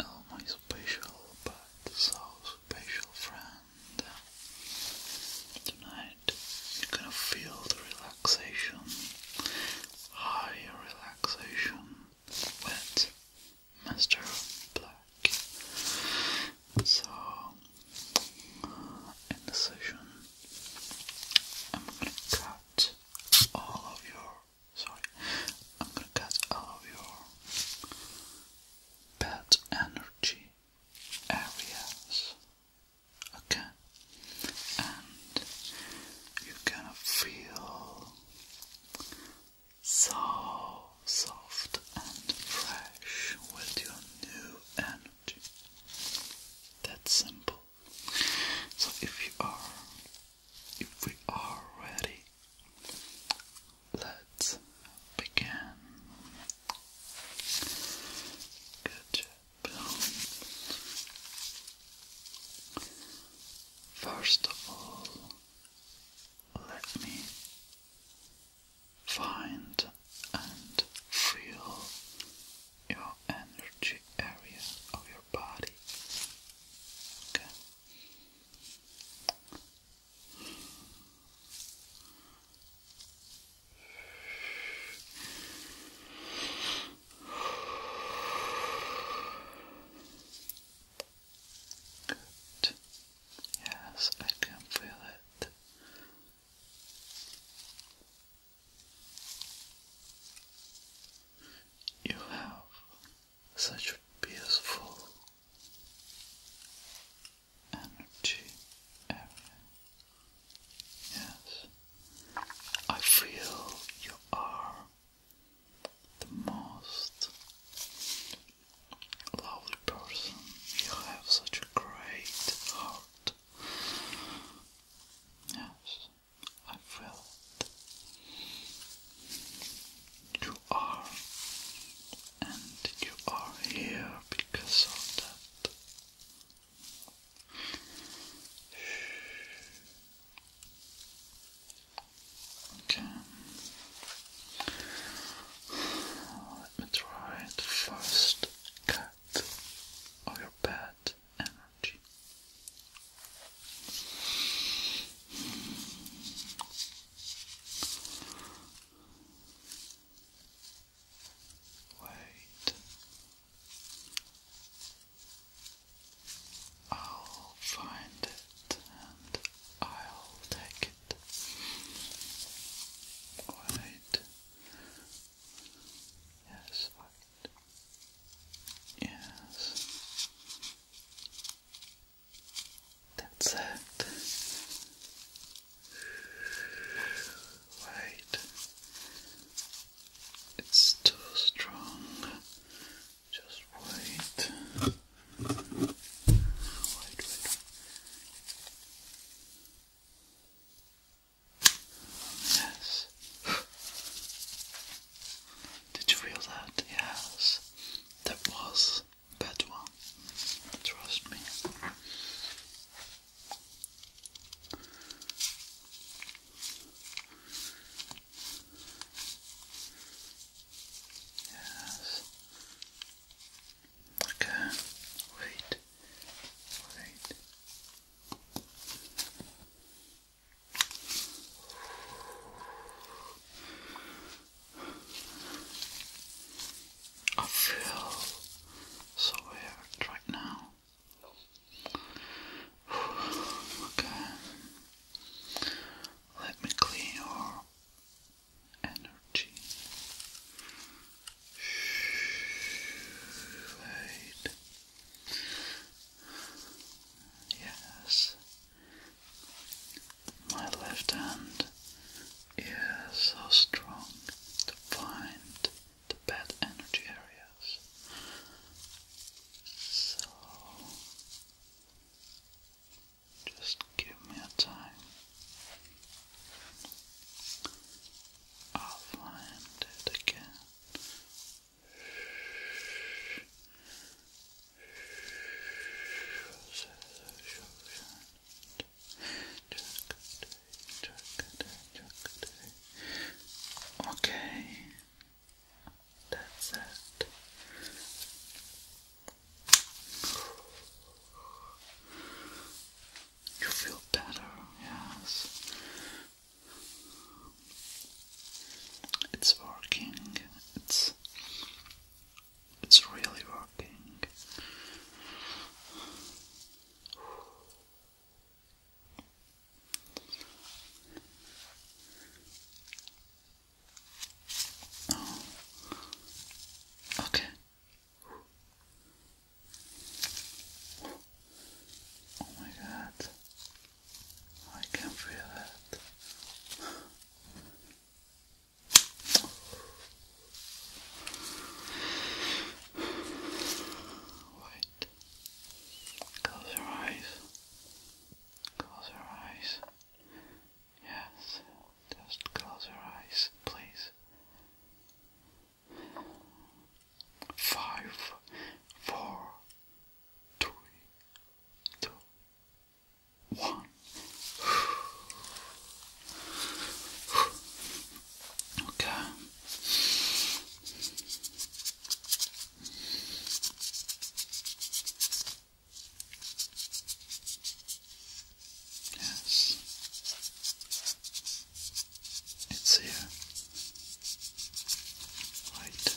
Oh, my special but so special friend. Tonight you're gonna feel the relaxation, high relaxation with Mr. Black. So, in the session, I'm gonna cut all of your sorry, I'm gonna cut all of your bad energy areas, okay? And you're gonna feel so soft and fresh with your new energy. That's simple. So if you are if we are ready, let's begin. Good job. First of all, let me find and feel your energy area of body. Okay. Good. Yes, I can feel it. You have such peaceful energy Yes, I feel you are the most lovely person. You have such a great heart. Yes. I felt you are, and you are here because of that. Okay. Let me try the first cut of your bed much. Wait. I'll find it and I'll take it. Wait. Yes, wait. Yes. That's it. Wait. It's too strong. Just wait. Wait, wait. Yes. Did you feel that? Yes. That was bad one. Trust me. Yes. Okay. Wait. Wait. I feel so weird right now. Okay, let me clean your energy. Wait. Yes, my left hand is so strong to find the bad energy areas. So just give me a time. I'll find it again. Okay, that's it. You feel better, yes. It's working. It's it's really working. Okay. Oh my god. I can feel it. Wait. Close your eyes. Close your eyes. Yes. Just close your eyes, please. Five, four, three, two, one. Okay. Yes. It's here. Right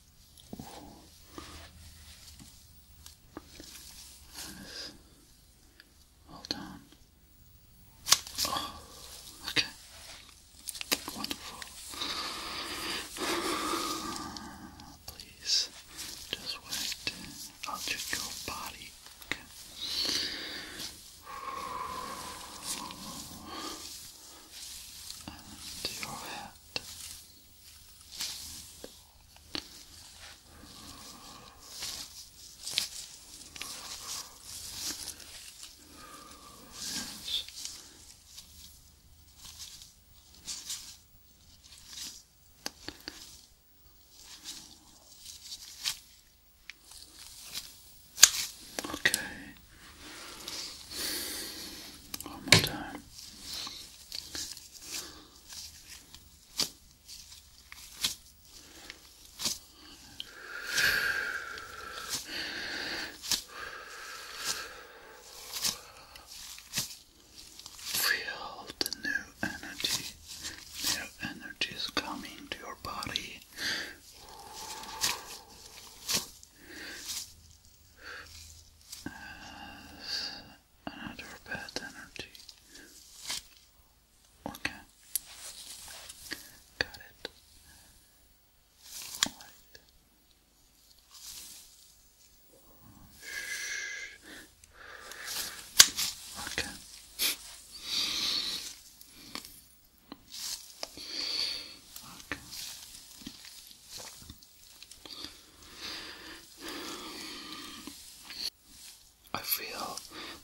Hold on. Oh, okay. Wonderful. Please, just wait. I'll check your body. And your head. Okay. One more time. Feel the new energy. New energy is coming to your body another bad energy. Okay, got it. All right. Okay. Okay. I feel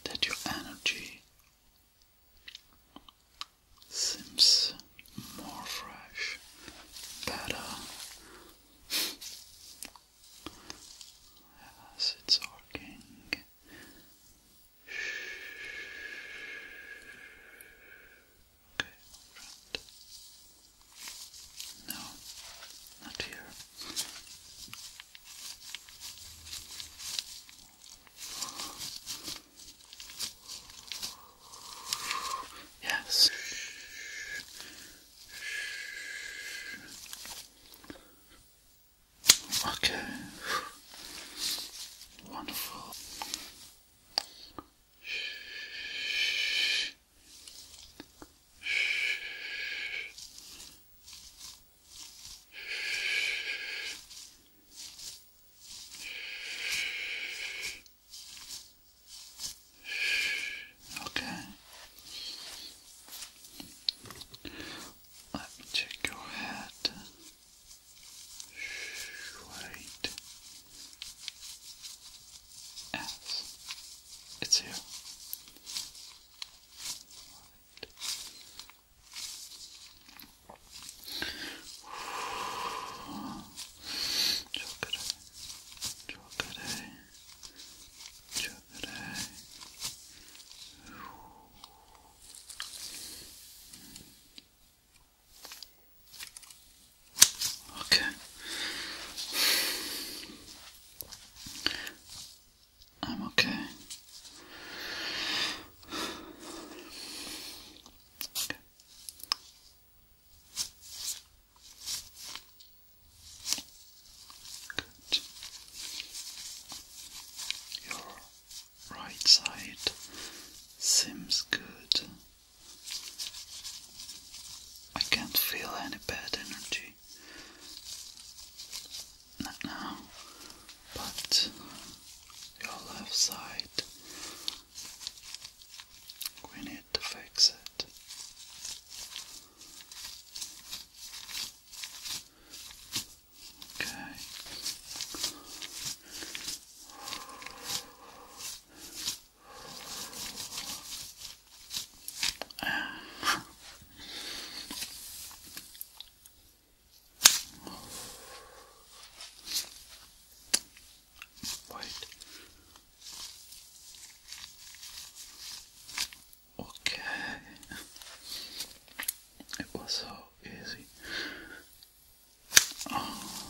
that your energy seems more fresh, better. Yes, it's working. Okay, No, not here. Yes. Okay. Wonderful. Shh. Okay. Let me check your head. Wait as it's here. Chocolate, chocolate, chocolate. Okay. I'm okay. Good. Your right side seems good. I can't feel any bad energy. Not now, but your left side, we need to fix it. Okay. Wait. Okay. It was so easy. Oh.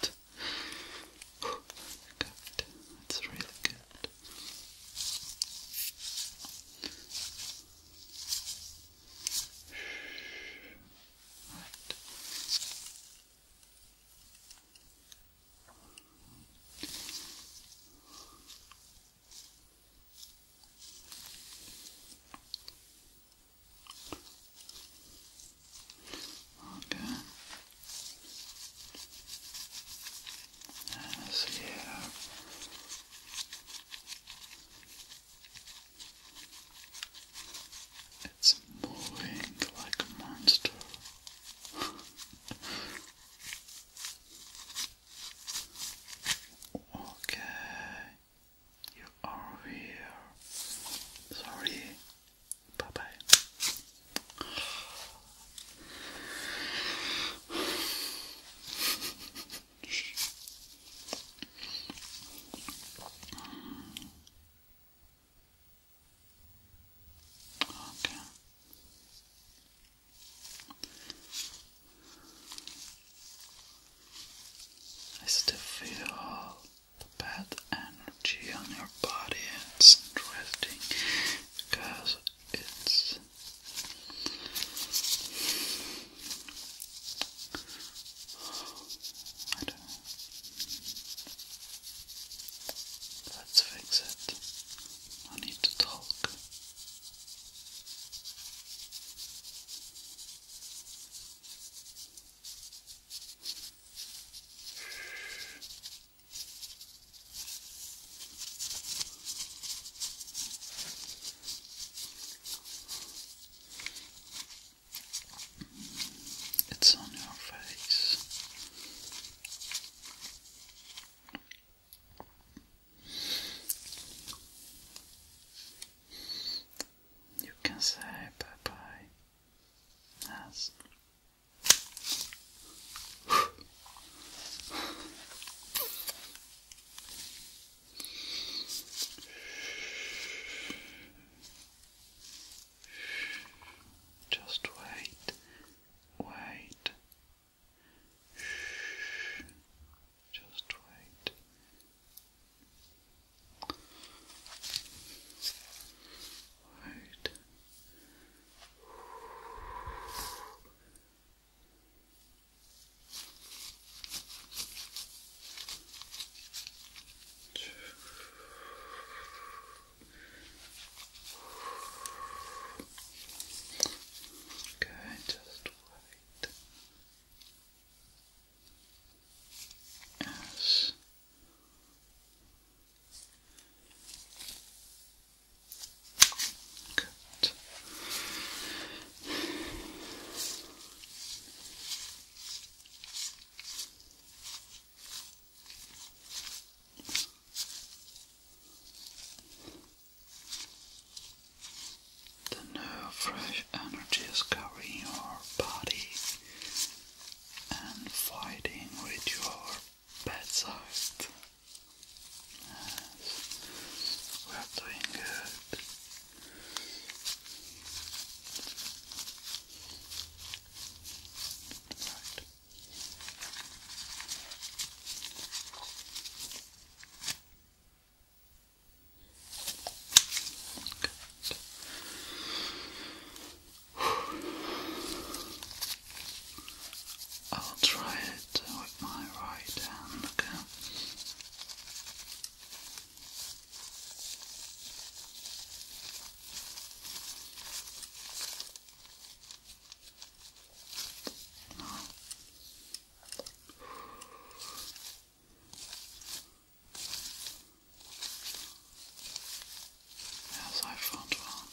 Good. Good. That's really good. Right. Good. Okay. And this It's moving like a monster. okay. You are here. Sorry, Bye bye. Okay. I still feel the bad energy on your body. It's interesting because it's Let's fix it. I need to talk. It's on your face. You can say bye bye. Yes. Just wait, wait, just wait. Right. Okay, just wait as Good. The new fresh energy is covering your body and fighting with your bedside. Yes, we are doing good. I'll try it with my right hand, okay? Yes, I found one.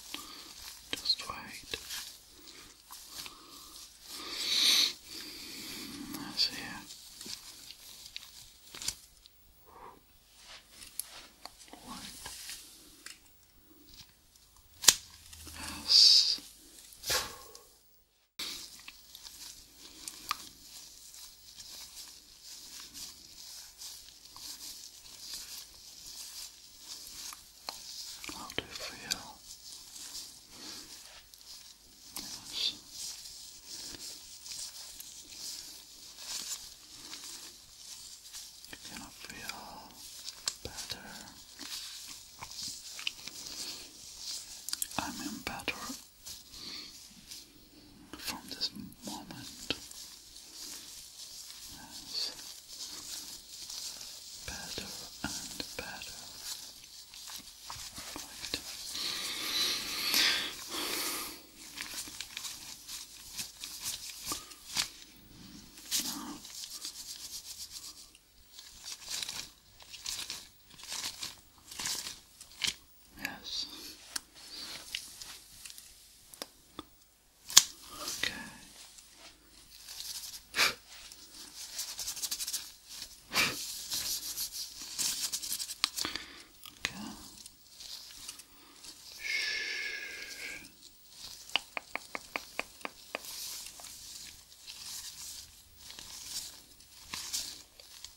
Just wait. That's here. Wait. Yes i do for you. Yes. You cannot feel better. I'm in better from this moment better and better. Right. Yes. Okay. okay. Shh.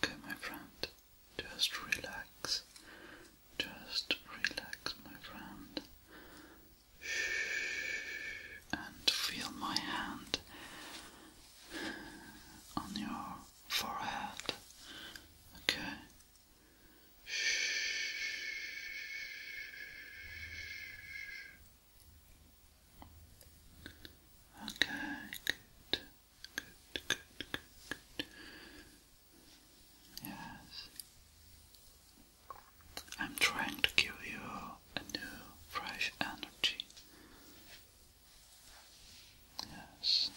Okay, my friend, just relax. Just relax, my friend. And feel my hand on your forehead. Okay. Okay, good. Good, good, good, Yes. I'm trying to give you a new, fresh energy. Yes.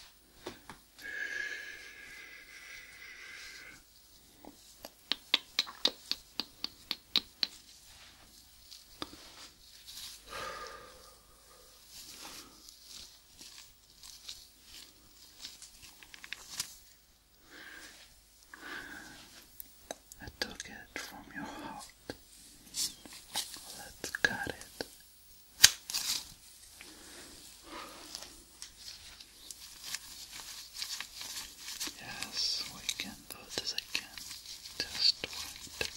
I took it from your heart. Let's cut it. Yes, we can do this again. Just wait.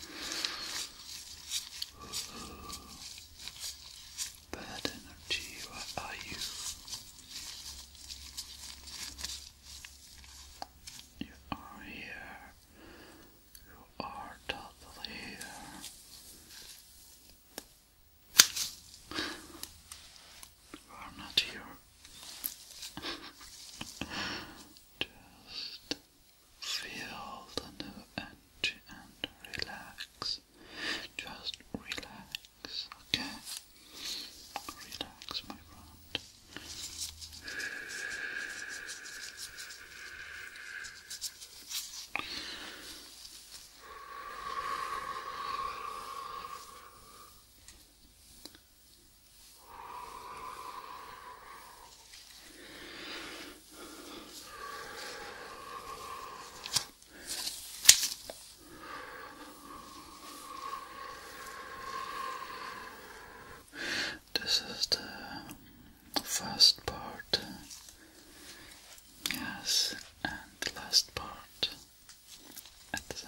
Bad energy, where are you? You are here. You are totally here. You are not here. Just Feel the new energy and relax. Just relax, okay? Relax, my friend. This is the first part, yes, and the last part at the same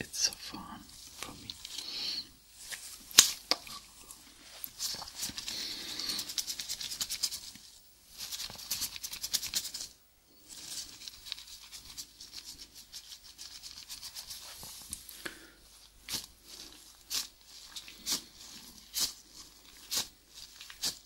It's so fun for me.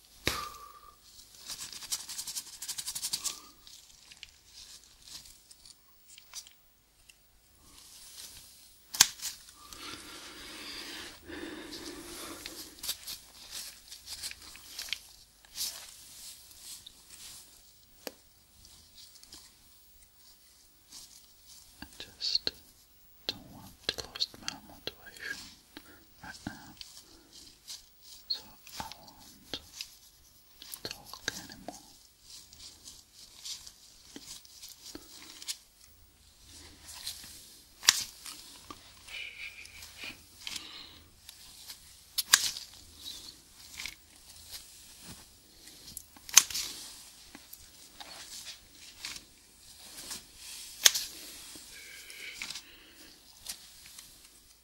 I just don't want to lose my motivation right now so I won't talk anymore.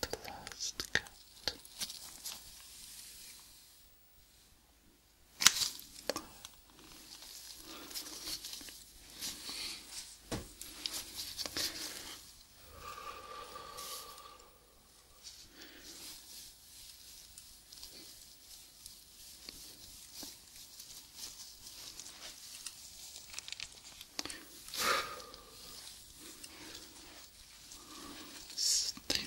the last cut. Still,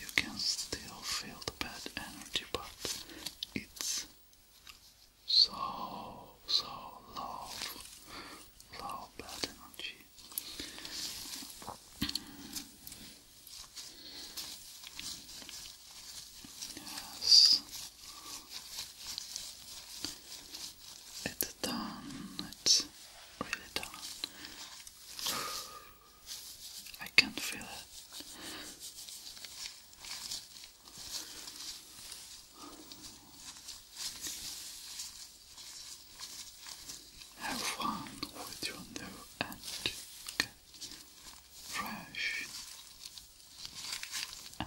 you can still feel the bad energy, but it's so, so low, low bad energy. Yes. It's done. It's really done. I can't feel it. Have fun with your new and fresh.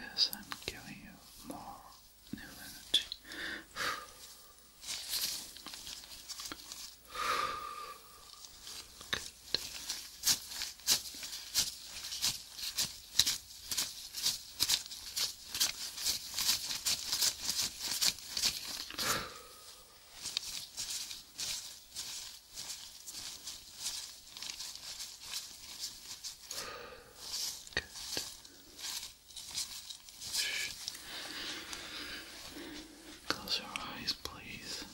Yes, I'm giving you more new energy. Good. Close your eyes, please.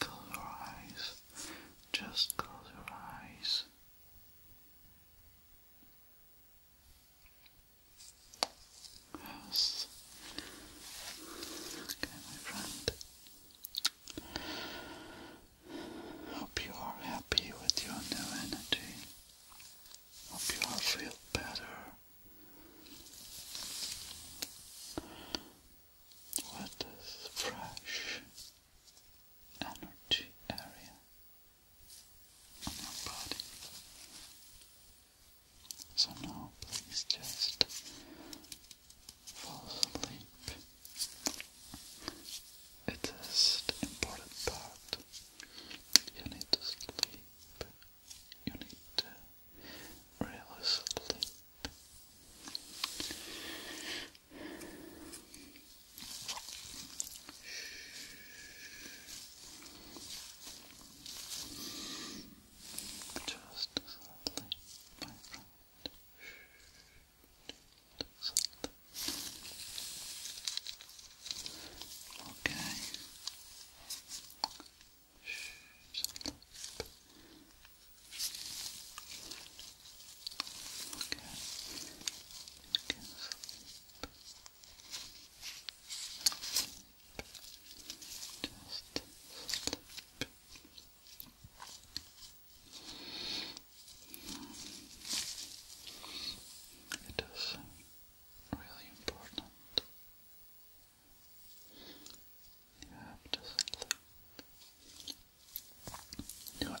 Close your eyes. Just close your eyes. Yes. Okay, my friend. Hope you are happy with your new energy. Hope you all feel better with this fresh energy area on your body. So now please just fall asleep. It is the important part. You need to sleep. You need to really sleep. Just sadly, my friend. Okay. Okay. Just sleep. It is really important. You have to sleep. You have